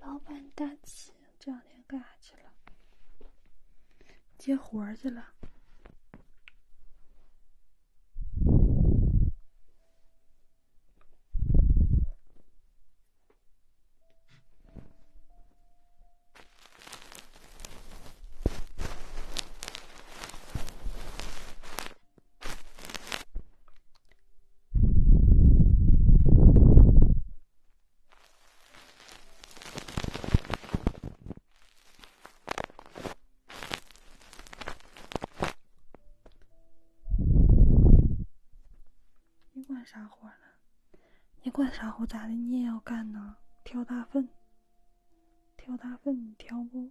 老板大气，这两天干啥去了？接活儿去了。你管啥活呢？你管啥活？咋的？你也要干呢？挑大粪，挑大粪，你挑不？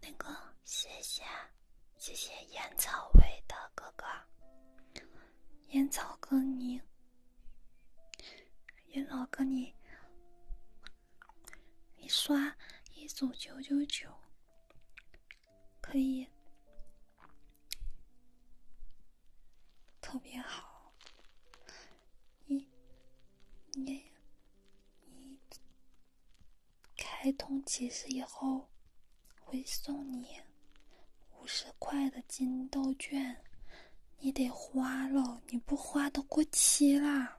那个，谢谢，谢谢烟草味的哥哥，烟草哥你，烟草哥你，你刷一组九九九。可以，特别好。你，你，你开通骑士以后，会送你五十块的金豆券，你得花了，你不花都过期啦。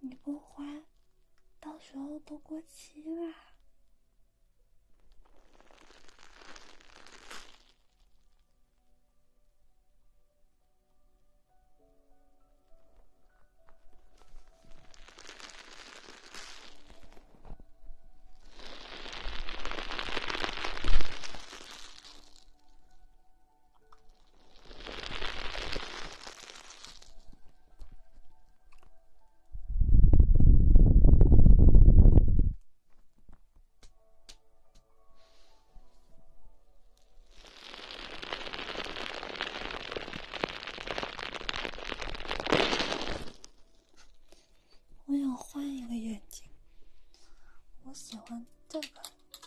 你不还，到时候都过期了。我想换一个眼镜，我喜欢这个。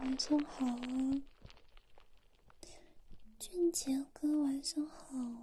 晚上好啊，俊杰哥，晚上好啊。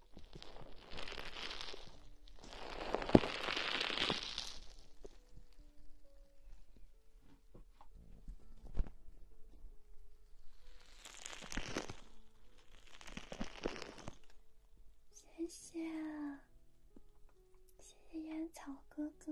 谢谢，谢谢烟草哥哥。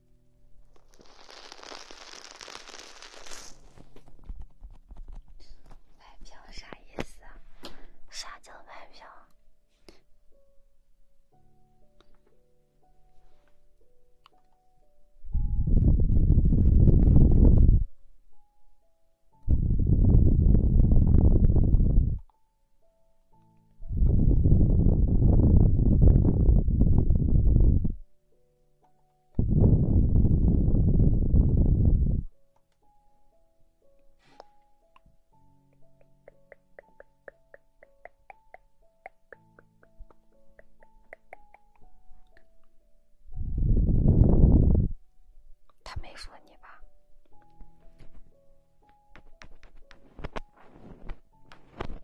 买票啥意思？啥叫买票？他没说你吧？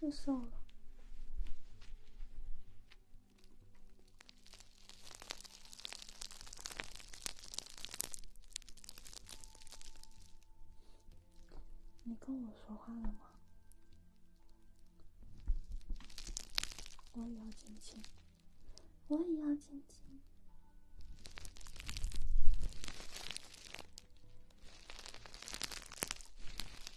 是瘦了，瘦了。你跟我说话了吗？我也要亲亲，我也要亲亲。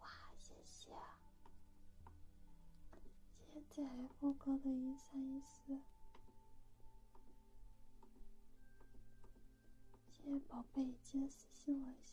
哇，谢谢！现在 F 哥的一三一四，谢谢宝贝，记得私信我一下。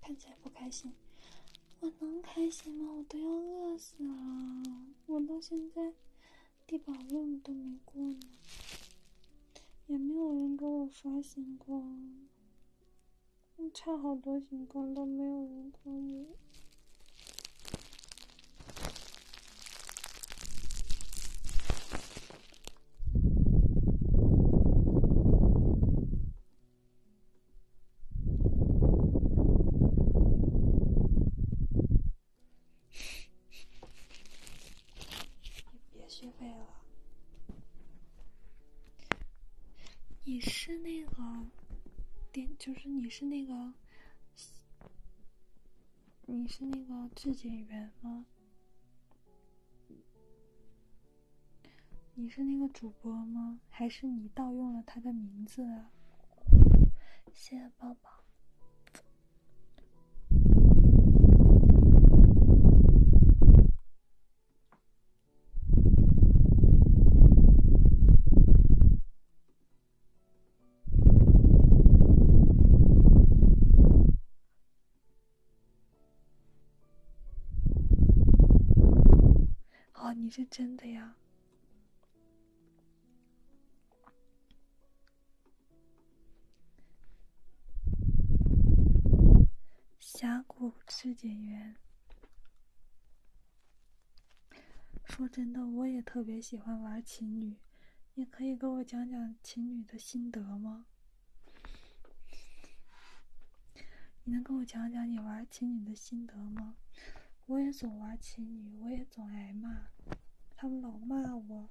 看起来不开心，我能开心吗？我都要饿死了，我到现在低保任务都没过呢，也没有人给我刷星光，差好多星光都没有人关我。别续费了！你是那个点，就是你是那个，你是那个质检员吗？你是那个主播吗？还是你盗用了他的名字？啊？谢谢宝宝。哦，你是真的呀！峡谷质检员，说真的，我也特别喜欢玩情侣，你可以给我讲讲情侣的心得吗？你能跟我讲讲你玩情女的心得吗？我也总玩情女，我也总挨骂，他们老骂我。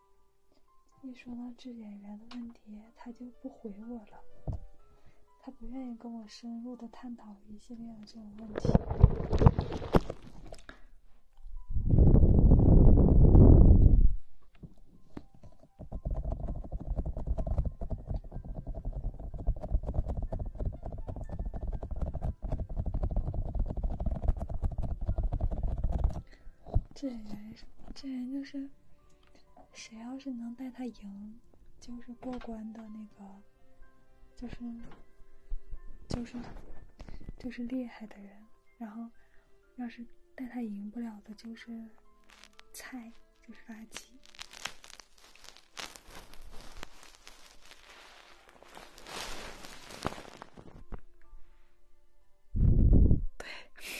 一说到制演员的问题，他就不回我了，他不愿意跟我深入的探讨一系列的这种问题。这人，这人就是，谁要是能带他赢，就是过关的那个，就是，就是，就是厉害的人。然后，要是带他赢不了的，就是菜，就是垃圾。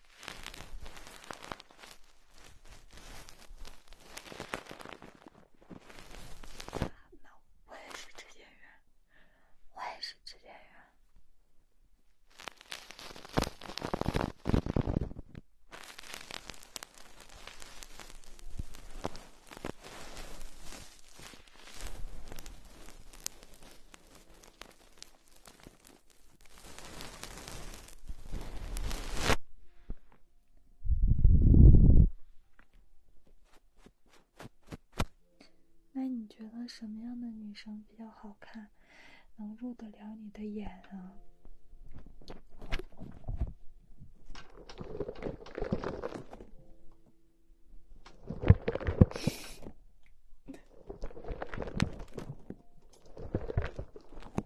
啊，no！我也是质检员，我也是质检员。那你觉得什么样的女生比较好看，能入得了你的眼啊？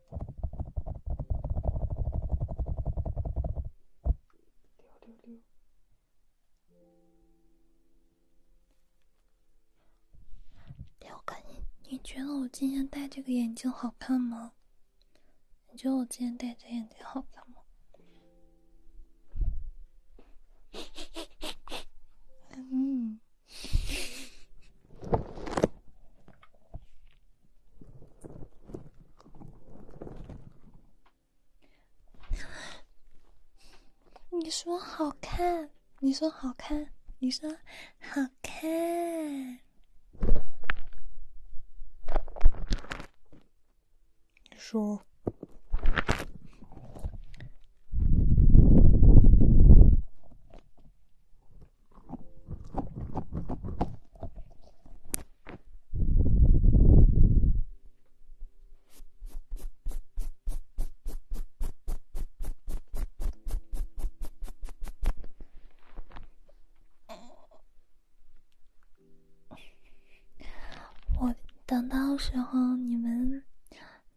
六六六。我看你，你觉得我今天戴这个眼镜好看吗？你觉得我今天戴这眼镜好看吗？嗯。你说好看，你说好看，你说好看，说。我等到时候，你们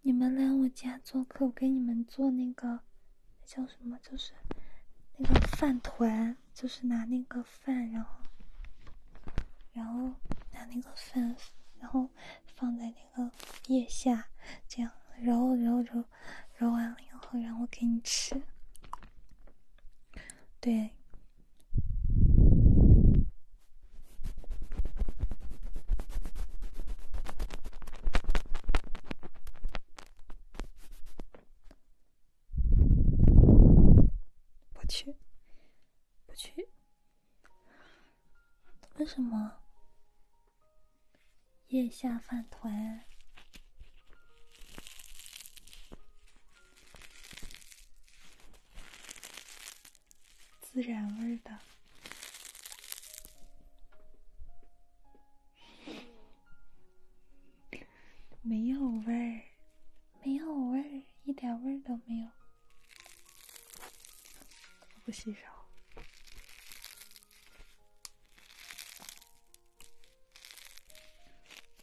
你们来我家做客，我给你们做那个。那叫什么？就是那个饭团，就是拿那个饭，然后，然后拿那个饭，然后放在那个腋下，这样揉揉揉揉完了以后，然后给你吃。对。不去，不去。为什么？腋下饭团，孜然味的。没有味儿，没有味儿，一点味儿都没有。我不洗手，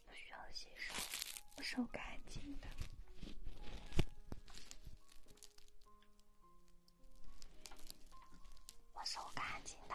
不需要洗手，我手干净的，我手干净的。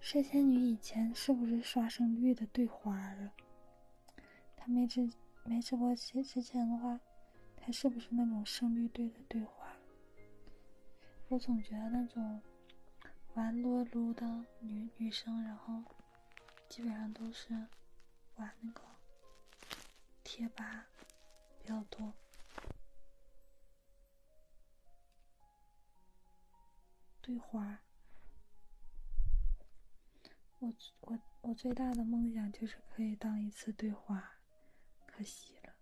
射仙女以前是不是刷生育的对花啊？她没直没直播前之前的话，她是不是那种生育队的对花？我总觉得那种玩撸撸的女女生，然后基本上都是。玩那个贴吧比较多，对花。我我我最大的梦想就是可以当一次对花，可惜了。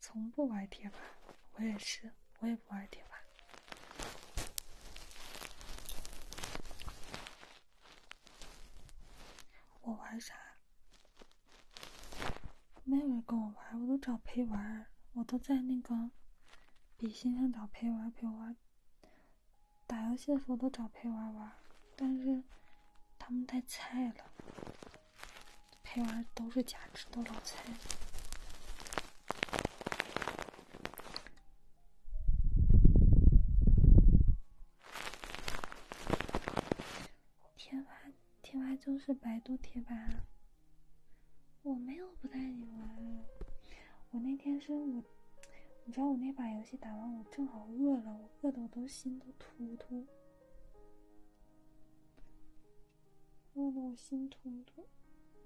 从不玩贴吧，我也是。我也不玩贴吧，我玩啥？没有人跟我玩，我都找陪玩。我都在那个比心上找陪玩陪玩，打游戏的时候都找陪玩玩，但是他们太菜了，陪玩都是假吃，都老菜。贴吧，贴吧就是百度贴吧。我没有不带你玩，我那天是我，你知道我那把游戏打完，我正好饿了，我饿的我都心都突突，饿的我心突突。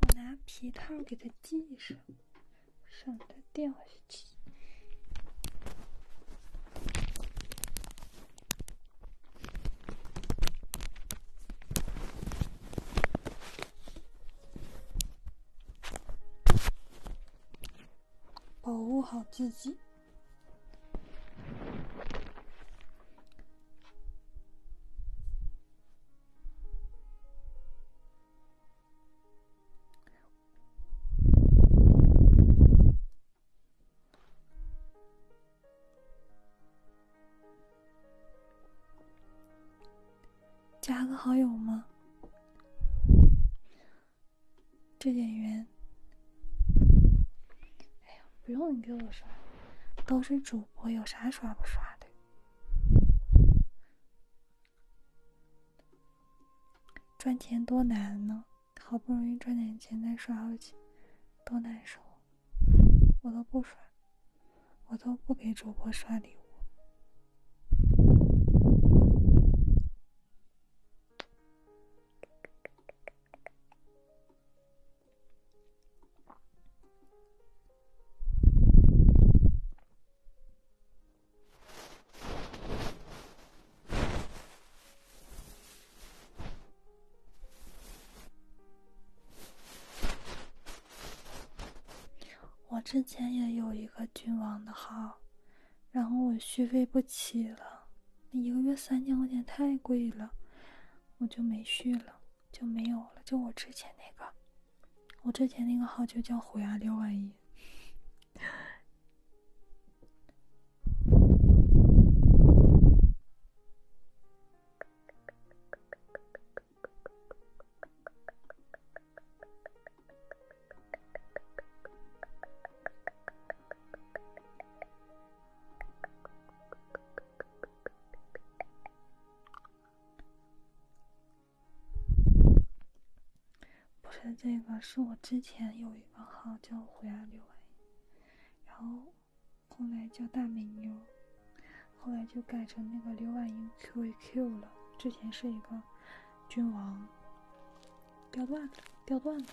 我拿皮套给它系上，省得掉下去。保护好自己。加个好友吗？这点缘，哎呀，不用你给我刷，都是主播，有啥刷不刷的？赚钱多难呢，好不容易赚点钱再刷回去，多难受！我都不刷，我都不给主播刷礼物。我之前也有一个君王的号，然后我续费不起了，一个月三千块钱太贵了，我就没续了，就没有了。就我之前那个，我之前那个号就叫虎牙六万一。不是这个，是我之前有一个号叫“回来六 A”，然后。后来叫大美妞，后来就改成那个刘婉莹 q a q 了。之前是一个君王，掉段子，掉段子。